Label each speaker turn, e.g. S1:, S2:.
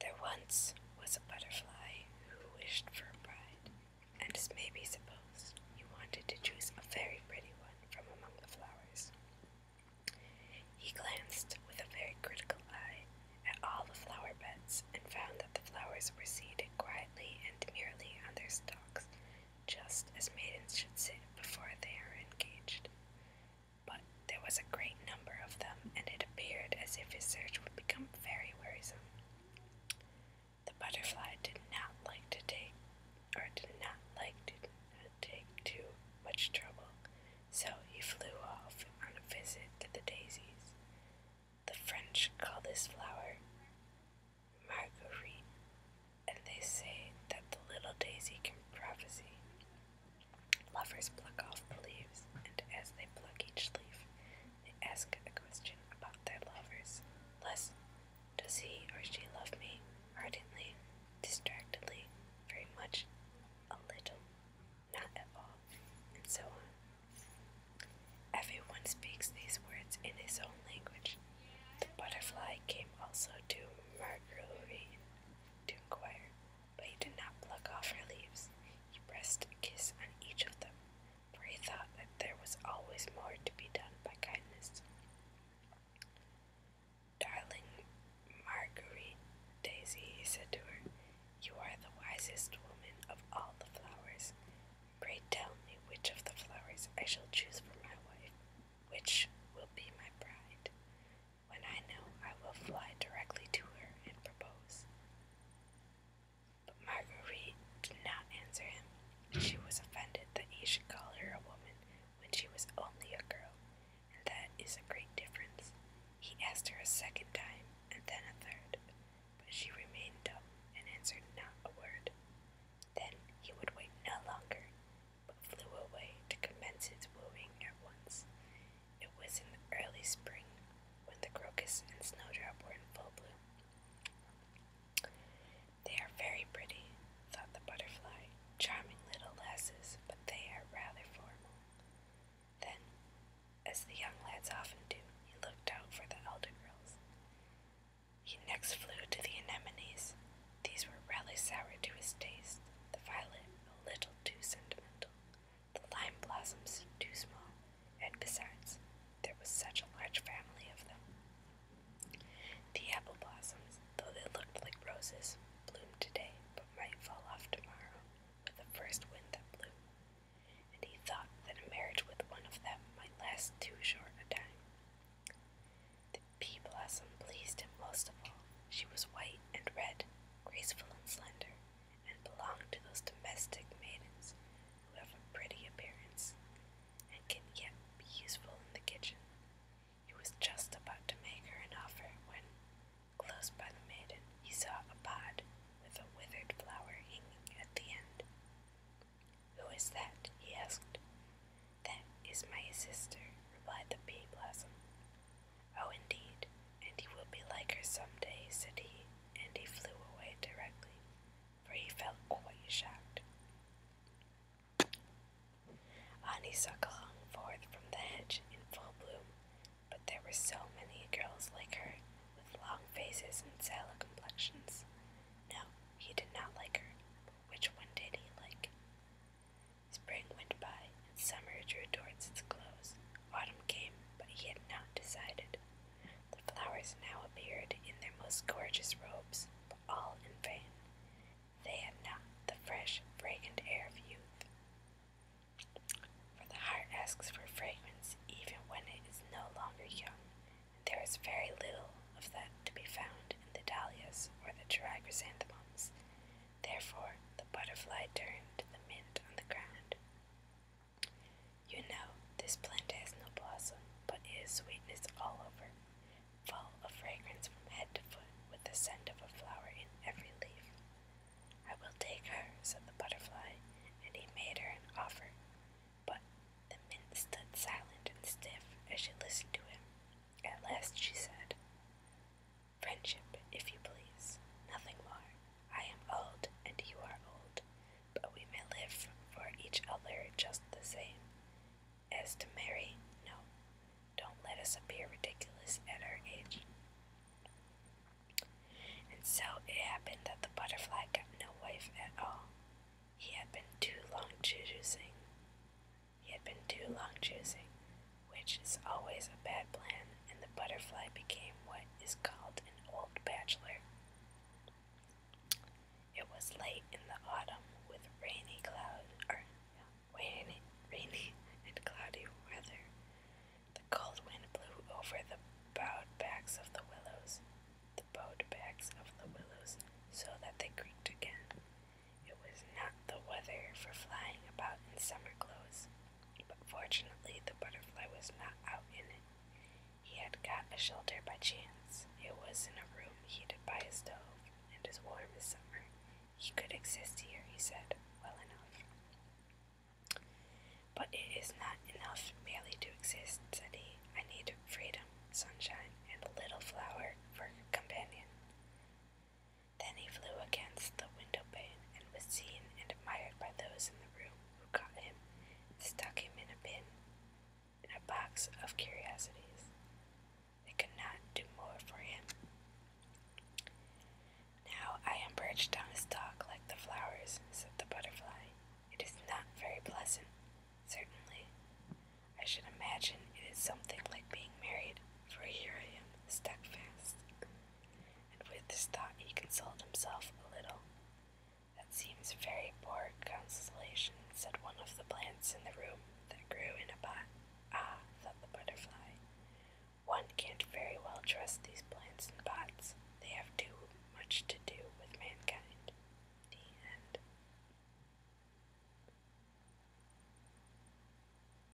S1: There once was a butterfly who wished for a bride, and as may be supposed, he wanted to choose a very pretty one from among the flowers. He glanced with a very critical eye at all the flower beds and found that the flowers were seated quietly and demurely on their stalks, just as maidens should sit before they are engaged but there was a great number of them, and it appeared as if his search would become very wearisome. The butterfly did not like to take, or did not like to take too much trouble, so he flew off on a visit to the daisies. The French call this flower Marguerite, and they say that the little daisy can prophesy. Lovers pluck off the leaves, and as they pluck each leaf, they ask a question about their lovers. Less, does he or she love me? Ardently, distractedly, very much, a little, not at all, and so on. Everyone speaks these words in his own language. The butterfly came also to Marguerite to inquire, but he did not pluck off her leaves. He pressed a kiss on each of them, for he thought that there was always more to be done by kindness. Darling Marguerite Daisy, he said to her, you are the wisest woman of all the flowers. Pray tell me which of the flowers I shall choose for my wife, which will be my bride. When I know, I will fly directly to her and propose. But Marguerite did not answer him. She was offended that he should call her a woman when she was only a girl, and that is a great difference. He asked her a second time, and then a third, but she remained dumb and answered not a word. Then he would wait no longer, but flew away to commence its wooing at once. It was in the early spring when the crocus and snowdrop were in full bloom. They are very pretty, thought the butterfly, charming little lasses, but they are rather formal. Then, as the young lads often do, he looked out for the elder girls. He next flew to the anemones. These were rather sour to his taste, the violet a little too sentimental. The lime blossoms too small, and besides, there was such a large family of them. The apple blossoms, though they looked like roses, bloomed today, but might fall off tomorrow with the first wind that blew. And he thought that a marriage with one of them might last too short a time. The pea blossom pleased him most of all. She was white and red, graceful and slender, and belonged to those domestic maidens who have a pretty appearance, and can yet be useful in the kitchen. He was just about to make her an offer when, close by the maiden, he saw a pod with a withered flower hanging at the end. Who is that? he asked. That is my sister, replied the pea blossom. Oh, indeed, and you will be like her some day, said he, and he flew away directly, for he felt quite shocked. Honeysuckle hung forth from the hedge in full bloom, but there were so many girls like her, with long faces and sallow complexions. No, he did not like her, but which one did he like? Spring went by, and summer drew towards its close. Autumn came, but he had not decided. The flowers now appeared in their most gorgeous robes, but all in vain. They had not the fresh, fragrant air of youth. For the heart asks for fragrance even when it is no longer young, and there is very little of that to be found in the dahlias or the dry chrysanthemums. Therefore, the butterfly turned the mint on the ground. You know, this plant has no blossom, but it is sweetness all over, full of fragrance from head to foot, with the scent of a flower in every leaf. I will take her, said the butterfly, and he made her an offer. But the mint stood silent and stiff as she listened to him. At last she said, Friendship, if you please, nothing more. I am old, and you are old, but we may live for each other just the same. As to marry, no, don't let us appear ridiculous at our age. And so it happened that the butterfly got no wife at all. He had been too long choosing. He had been too long choosing, which is always a bad plan, and the butterfly became what is called an old bachelor. It was late in the autumn with rainy cloud or rainy, rainy and cloudy weather. The cold wind blew over the bowed backs of the willows, the bowed backs of the willows, so that they creaked again. It was not the weather for flying about in summer clothes, but fortunately the butterfly was not out in it. He had got a shelter by chance. It was in a room heated by a stove and as warm as summer. He could exist here, he said, well enough. But it is not enough merely to exist, said he. I need freedom, sunshine, and a little flower for a companion. Then he flew against the window pane and was seen and admired by those in the room who caught him and stuck him in a bin, in a box of curiosities. They could not do more for him. Now I am perched on a stalk like the flowers, said the butterfly. It is not very pleasant, certainly. I should imagine it is something like being married, for here I am, stuck fast and with this thought he consoled himself a little. That seems a very poor consolation, said one of the plants in the room that grew in a pot. Ah, thought the butterfly, one can't very well trust these plants in pots. They have too much to do with mankind. The end.